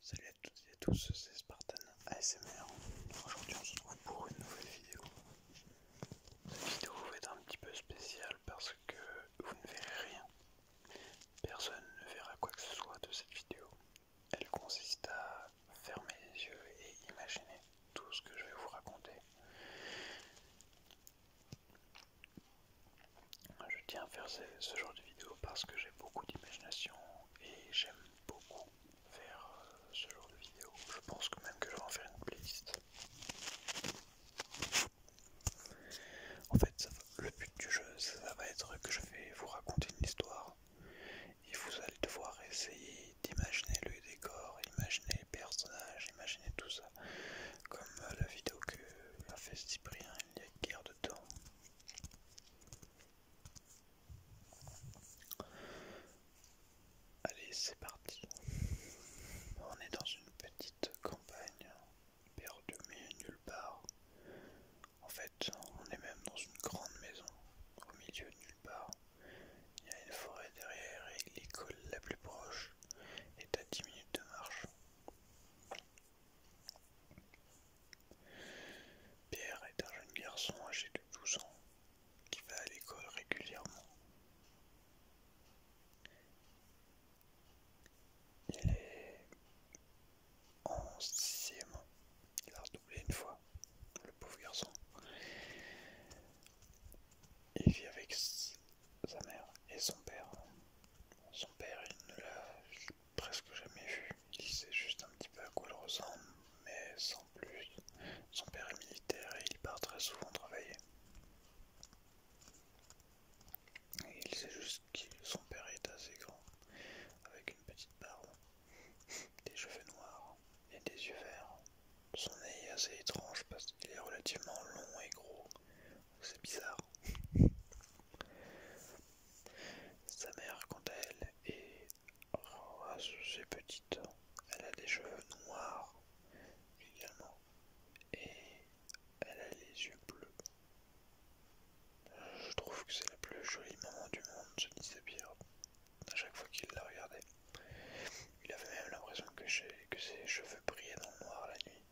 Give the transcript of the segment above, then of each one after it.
Salut à toutes et à tous, c'est Spartan ASMR. Aujourd'hui on se retrouve pour une nouvelle vidéo. Cette vidéo va être un petit peu spéciale parce que vous ne verrez rien. Personne ne verra quoi que ce soit de cette vidéo. Elle consiste à fermer les yeux et imaginer tout ce que je vais vous raconter. Je tiens à faire ce, genre de vidéo parce que j'ai beaucoup d'imagination et j'aime beaucoup faire euh, ce genre de vidéo. Je pense que même que je vais en faire une playlist. En fait, le but du jeu, ça va être que je vais vous raconter une histoire et vous allez devoir essayer d'imaginer le décor, imaginer les personnages, imaginer tout ça, comme euh, la vidéo que m'a fait Cyprien Guerre de temps. Allez, c'est parti. On est dans une petite campagne, perdue mais nulle part. En fait, on est même dans une grande maison, au milieu de nulle part. Il y a une forêt derrière et l'école la plus proche est à 10 minutes de marche. Pierre est un jeune garçon âgé de 12 ans qui va à l'école régulièrement. Il est en sixième. Il a redoublé une fois, le pauvre garçon. Il vit avec sa mère et son père son père, ne l'a presque jamais vu. Il sait juste un petit peu à quoi il ressemble, mais sans plus. Son père est militaire et il part très souvent travailler. il sait juste que son père est assez grand, avec une petite barbe, des cheveux noirs et des yeux verts. Son nez est assez étrange parce qu'il est relativement long et gros. C'est bizarre. Sa mère, quant à elle, est assez petite. Elle a des cheveux noirs également. Et elle a les yeux bleus. Je trouve que c'est la plus jolie maman du monde, se disait Pierre, à chaque fois qu'il la regardait. Il avait même l'impression que, que ses cheveux brillaient dans le noir la nuit,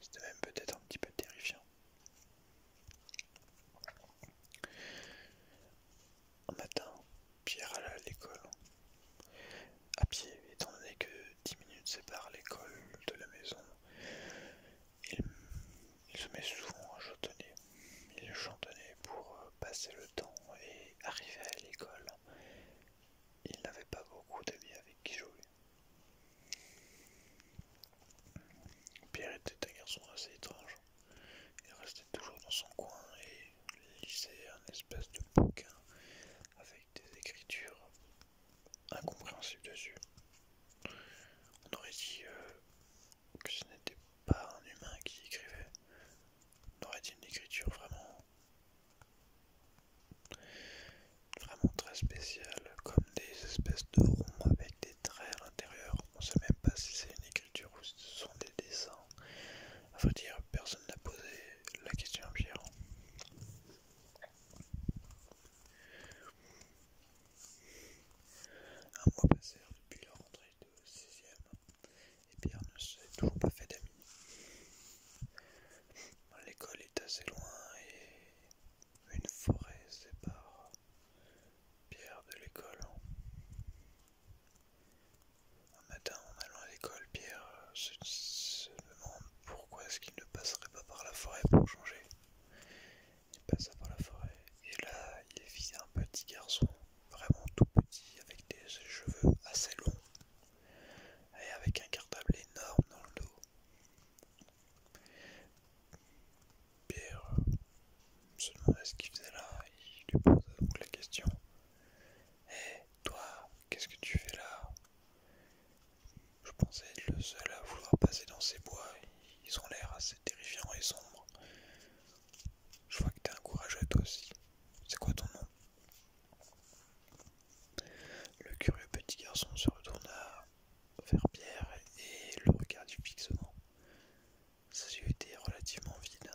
c'était même peut-être un petit peu terrifiant. Un matin, Pierre alla à l'école. À pied, étant donné que 10 minutes séparent l'école de la maison, il, se met souvent à chantonner. Il chantonnait pour euh, passer le temps et arriver à l'école. Il n'avait pas beaucoup d'amis avec qui jouer. Pierre était un garçon assez étrange. Il restait toujours dans son coin et lisait un espèce de bouquin avec des écritures incompréhensibles dessus. On aurait dit euh, que ce n'était pas un humain qui écrivait. On aurait dit une écriture vraiment Vraiment très spécial, comme des espèces de ronds avec des traits à l'intérieur. On ne sait même pas si c'est une écriture ou si ce sont des dessins. À vrai dire, personne n'a posé la question à Pierre. Un mois passèrent depuis la rentrée de 6ème et Pierre ne s'est toujours pas fait d'amis. L'école est assez loin et une forêt sépare Pierre de l'école. Un matin, en allant à l'école, Pierre se, demande pourquoi est-ce qu'il ne passerait pas par la forêt pour changer. Il passe par la forêt et là, il vit un petit garçon, vraiment tout petit, avec des cheveux assez longs et avec un cartable énorme dans le dos. Pierre se demandait ce qu'il faisait là, il lui posait donc la question Hé, eh, toi, qu'est-ce que tu fais là Je pensais être le seul à vouloir passer dans ces bois, ils ont l'air assez terrifiants et sombres. Je vois que tu es un courageux toi aussi. C'est quoi ton nom le curieux petit garçon se retourna vers Pierre et le regarda fixement. Ses yeux étaient relativement vide.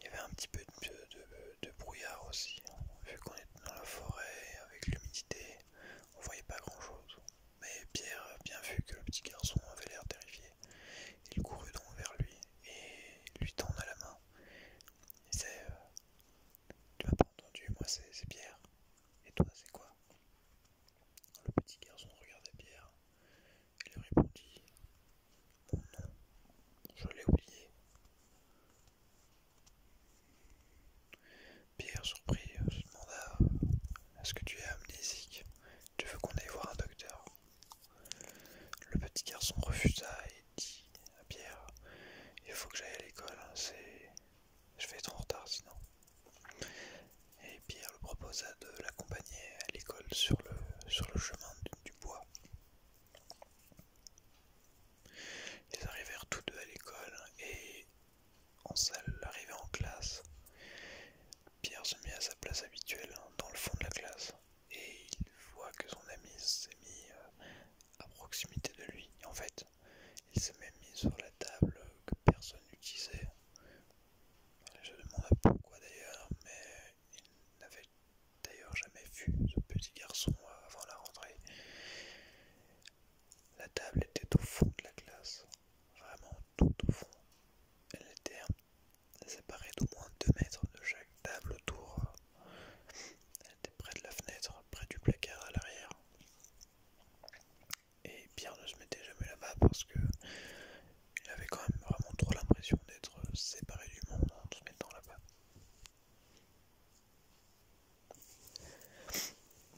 Il y avait un petit peu de, brouillard aussi, vu qu'on était dans la forêt avec l'humidité, on ne voyait pas grand chose. Mais Pierre a bien vu que le petit garçon avait l'air terrifié. Il courut donc vers lui et lui à la main. C'est. Euh, tu m'as pas entendu, moi c'est Pierre. Et toi c'est quoi Le petit garçon regardait Pierre et lui répondit Mon nom, je l'ai oublié. Pierre, surpris, se demanda Est-ce que tu es amnésique Tu veux qu'on aille voir un docteur le petit garçon refusa et dit à Pierre Il faut que j'aille à l'école, hein, Je vais être en retard sinon. Et Pierre le proposa de l'accompagner à l'école sur le, chemin du, bois. Ils arrivèrent tous deux à l'école et en salle, arrivé en classe, Pierre se mit à sa place habituelle hein, dans le fond de la classe et il voit que son ami s'est mis euh, à proximité de lui. en fait, il s'est même mis sur la table que personne n'utilisait. Je demande pourquoi d'ailleurs, mais il n'avait d'ailleurs jamais vu ce petit garçon euh, avant la rentrée. La table était au fond de la classe, vraiment tout au fond. Elle était un séparée d'au moins 2 mètres de chaque table autour. Elle était près de la fenêtre, près du placard à l'arrière. Et Pierre ne se mettait jamais là-bas parce que il avait quand même vraiment trop l'impression d'être séparé du monde en se mettant là-bas.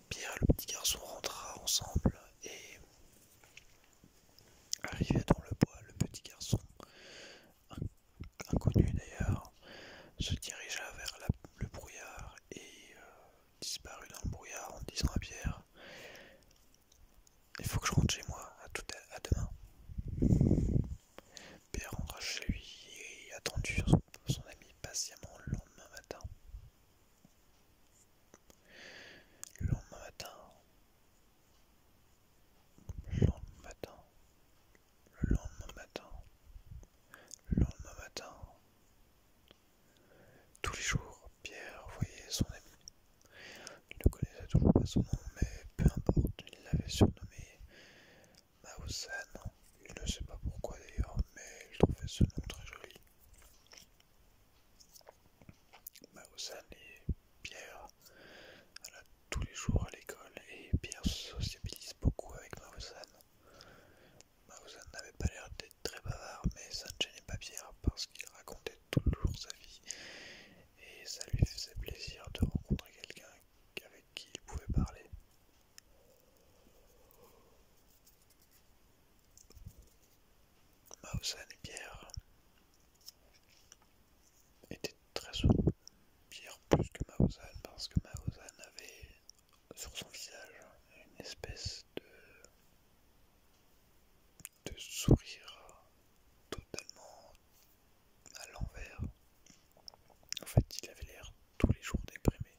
Pierre et le petit garçon rentra ensemble et Arrivé dans le bois, le petit garçon, inconnu d'ailleurs, se dirigea vers le brouillard et euh, disparut dans le brouillard en disant à Pierre Il faut que je rentre chez moi, à, tout demain. Pierre rentra chez lui et attendit son ami patiemment le lendemain matin. Le lendemain matin, le lendemain matin, le lendemain matin, le lendemain matin. Tous les jours, Pierre voyait son ami. Il ne connaissait toujours pas son nom, mais peu importe, il l'avait surnommé mao Il ne sait pas pourquoi d'ailleurs, mais il trouvait ce nom très joli. Maussan et Pierre allaient tous les jours à l'école et Pierre se sociabilise beaucoup avec Maussan. Maussan n'avait pas l'air d'être très bavard, mais ça ne gênait pas Pierre parce qu'il racontait toujours sa vie et ça lui faisait plaisir de rencontrer quelqu'un avec qui il pouvait parler. Maussan et Pierre était très sourd, pire plus que Maozan, parce que Maozan avait sur son visage une espèce de, sourire totalement à l'envers. En fait, il avait l'air tous les jours déprimé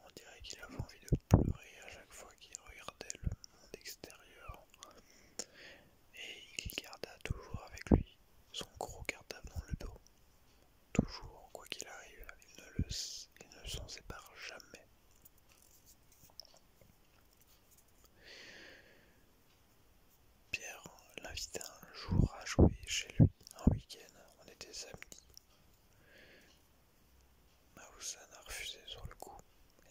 on dirait qu'il avait envie de pleurer à chaque fois qu'il regardait le monde extérieur. Et il garda toujours avec lui son gros cartable dans le dos. Toujours, quoi qu'il arrive, il ne, le, il ne s'en sépare jamais. Pierre l'invita un jour à jouer chez lui un week-end. On était samedi. Mahou-san a refusé sur le coup.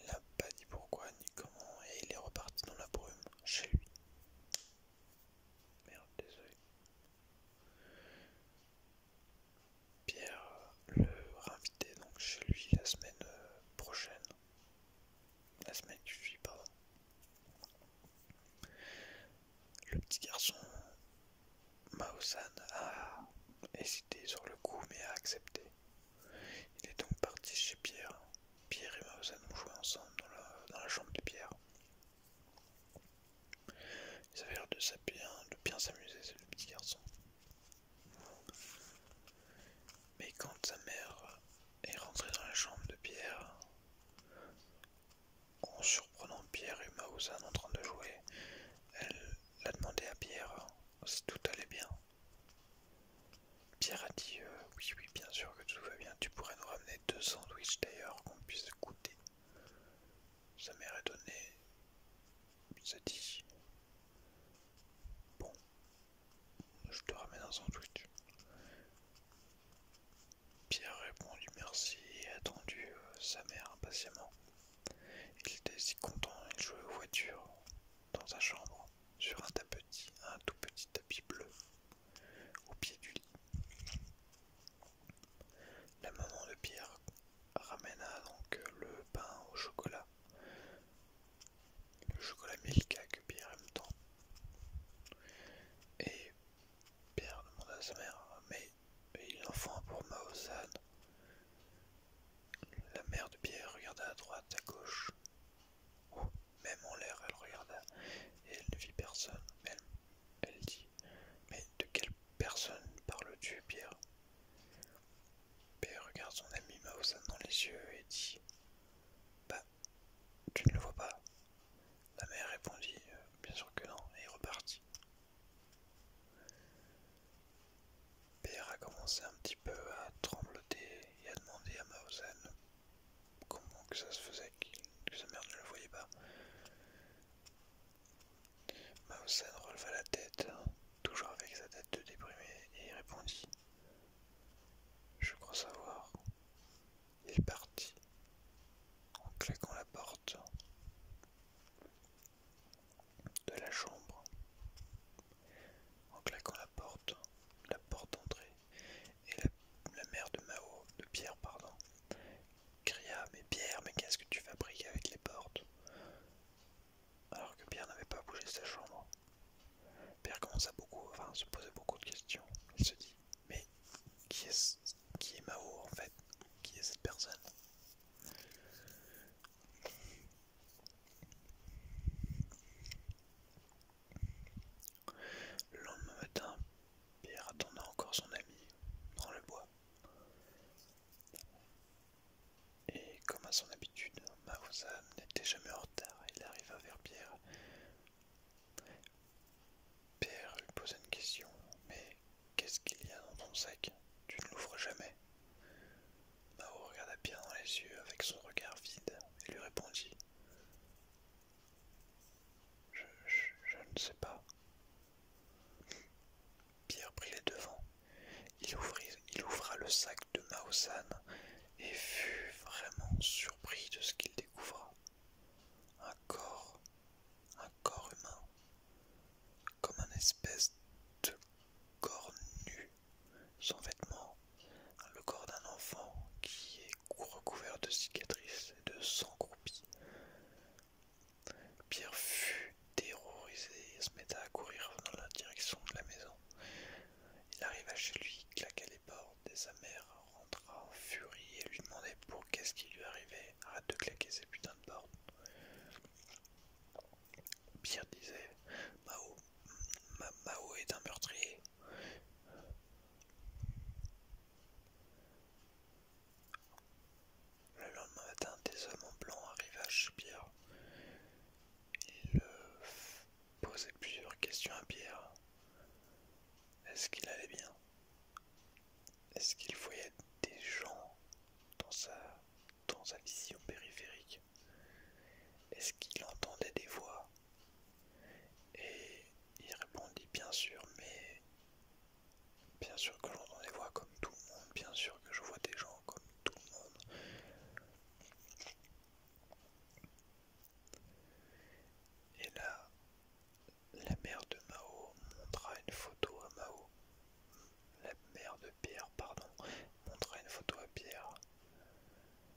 Il n'a pas dit pourquoi ni comment et il est reparti dans la brume chez lui. Merde, désolé. Pierre le réinvitait donc chez lui la semaine euh, prochaine. La semaine qui pardon. Le petit garçon Mahou-san a essayé sur le coup, mais a accepté. Il est donc parti chez Pierre. Pierre et Mausan ont joué ensemble dans la, chambre de Pierre. Ils avaient l'air de, bien s'amuser, ces deux petits garçons. Mais quand sa mère est rentrée dans la chambre de Pierre, en surprenant Pierre et Maouzan en train de jouer, elle L'a demandé à Pierre hein, si tout allait bien. Pierre a dit euh, Oui, oui, bien sûr que tout va bien. Tu pourrais nous ramener deux sandwichs d'ailleurs qu'on puisse goûter. Sa mère est donnée. s'est dit Bon, je te ramène un sandwich. Pierre a répondu merci et attendu euh, sa mère impatiemment. Il était si content, il jouait aux voitures, dans sa chambre, sur un un tout petit tapis bleu, au pied du lit. La maman de Pierre ramena donc le pain au chocolat, le chocolat Milka que Pierre aime tant. Et Pierre demanda à sa mère, mais et l'enfant pour La mère de Pierre regarda à droite, à gauche. ou même en l'air, elle regarda. Et elle ne vit personne. Elle, dit Mais de quelle personne parles-tu, Pierre Pierre regarde son ami Maosan dans les yeux et dit Bah, tu ne le vois pas. La mère répondit euh, Bien sûr que non, et repartit. Pierre a commencé un petit peu à trembloter et à demander à Mausen comment que ça se faisait que sa mère ne le voyait pas. Mausen releva la tête, toujours avec sa tête de déprimé, et répondit Je crois savoir. Il partit en claquant la porte de la chambre en claquant la porte, la porte d'entrée, et la, mère de Mao, de Pierre, pardon, cria Mais Pierre, mais qu'est-ce que tu fabriques avec les portes Alors que Pierre n'avait pas bougé sa chambre. Pierre commença beaucoup, enfin se poser beaucoup de questions. Il se dit Mais qui est-ce qui est Mao en fait, qui est cette personne. Le lendemain matin, Pierre attendait encore son ami dans le bois. Et comme à son habitude, Marosa n'était jamais en retard. Il arriva vers Pierre. Pierre lui posa une question, mais Qu'est-ce qu'il y a dans ton sac Tu ne l'ouvres jamais. Mao regarda Pierre dans les yeux avec son regard vide et lui répondit je, ne sais pas. Pierre prit les devants. Il, ouvrit, il ouvra le sac de Mao-san et fut vraiment surpris de ce qu'il découvra un corps, un corps humain, comme une espèce de corps nu, sans vêtements, le corps d'un enfant qui est recouvert de cicatrices et de sang croupi. Pierre fut terrorisé et se metta à courir dans la direction de la maison. Il arriva chez lui, claqua les portes et sa rentra en furie et lui demandait pour qu'est-ce qui lui arrivait Arrête de claquer ces putains de portes. Pierre disait Mao, Mao est un meurtrier. Le lendemain matin, des hommes en blanc à chez Pierre. Ils posait plusieurs questions à Pierre. Est-ce qu'il allait bien est-ce qu'il voyait des gens dans sa, dans vision périphérique Est-ce qu'il entendait des voix Et il répondit bien sûr, mais bien sûr que j'entends des voix comme tout le monde, bien sûr que je vois des gens comme tout le monde. Et là, la mère de Mao montra une photo à Mao. La mère de Pierre, pardon, montra une photo à Pierre.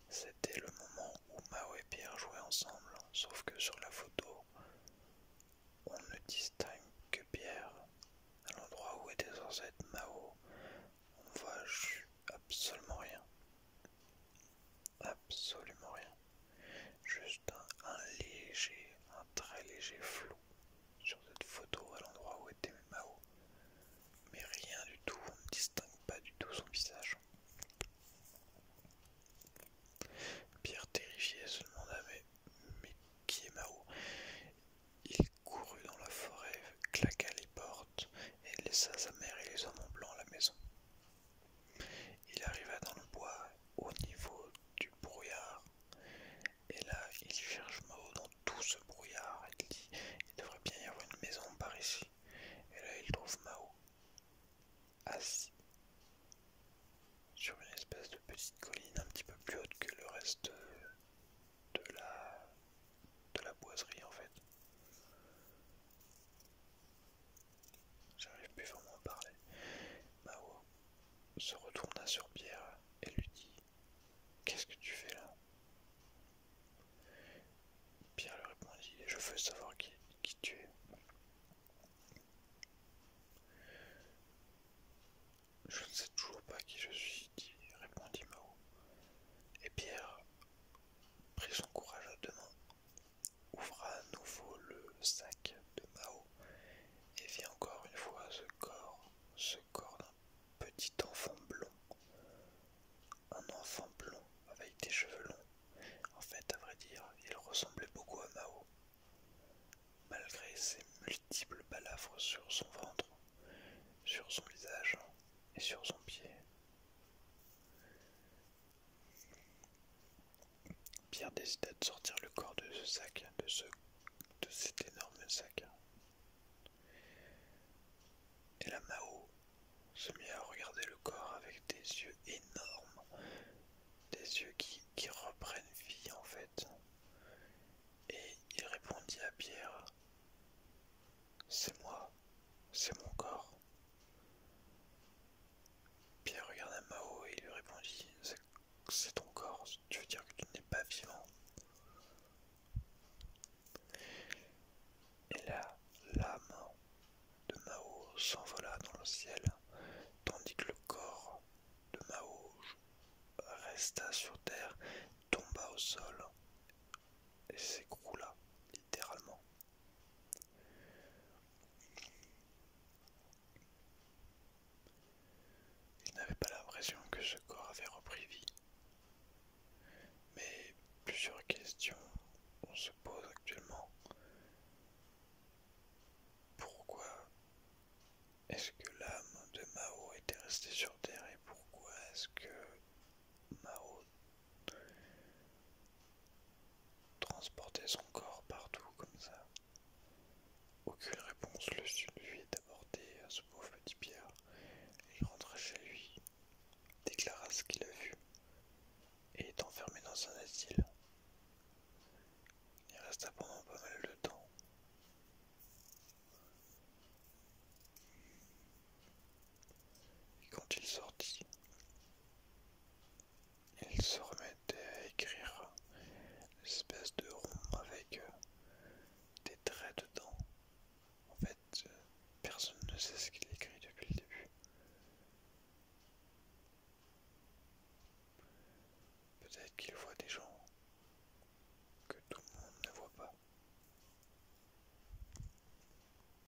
C'était le moment où Mao et Pierre jouaient ensemble, sauf que sur la photo, on ne distingue que Pierre. À l'endroit où était censé être Mao, on ne voit absolument rien. Absolument rien. Juste un, léger, un très léger flou sur cette photo à l'endroit où était Mao. Mais rien du tout, on ne distingue pas du tout son visage. Pierre terrifié se demanda mais qui est Mao Il courut dans la forêt, claqua les portes et laissa sa mère et les hommes en blanc à la maison. Il arriva dans le bois au niveau du brouillard. Et là, il cherche Mao dans tout ce brouillard. Il dit il devrait bien y avoir une maison par ici. Et là, il trouve Mao assis sur une espèce de petite colline un petit peu plus haute que le reste de la, de la boiserie en fait. J'arrive plus vraiment à parler. Mao se retourna sur Pierre et lui dit Qu'est-ce que tu fais là Pierre lui répondit Je veux savoir qui, tu es. Je ne sais toujours pas qui je suis, répondit Mao. Et Pierre prit son courage à deux mains ouvre à nouveau le sac de Mao et vit encore une fois ce corps, ce corps d'un petit enfant blond. Un enfant blond avec des cheveux longs. En fait, à vrai dire, il ressemblait beaucoup à Mao. Malgré ses multiples balafres sur son ventre, sur son visage et sur son pied. Pierre décida de sortir le corps de ce sac, de, de cet énorme sac. Et la Mao se mit à regarder le corps avec des yeux énormes, des yeux qui reprennent vie en fait. Et il répondit à Pierre, c'est moi, c'est mon corps. Pierre regarda Mao et lui répondit C'est ton corps, tu veux dire que tu n'es pas vivant Et là, l'âme de Mao s'envola dans le ciel, tandis que le corps de Mao resta sur terre, tomba au sol et s'écroula littéralement. Il n'avait pas l'impression que ce corps avait repris vie. Mais plusieurs questions on se pose actuellement. Pourquoi est-ce que l'âme de Mao était restée sur Terre et pourquoi est-ce que Mao Transporter son corps partout comme ça. Aucune réponse le est d'aborder à ce pauvre petit Pierre. Il rentra chez lui, déclara ce qu'il a vu et est enfermé dans un asile. Il resta pendant pas mal de temps. Et quand il sortit, il se remettait à écrire une espèce de rond avec euh, des traits dedans. En fait, euh, personne ne sait ce qu'il écrit depuis le début. Peut-être qu'il voit des gens que tout le monde ne voit pas.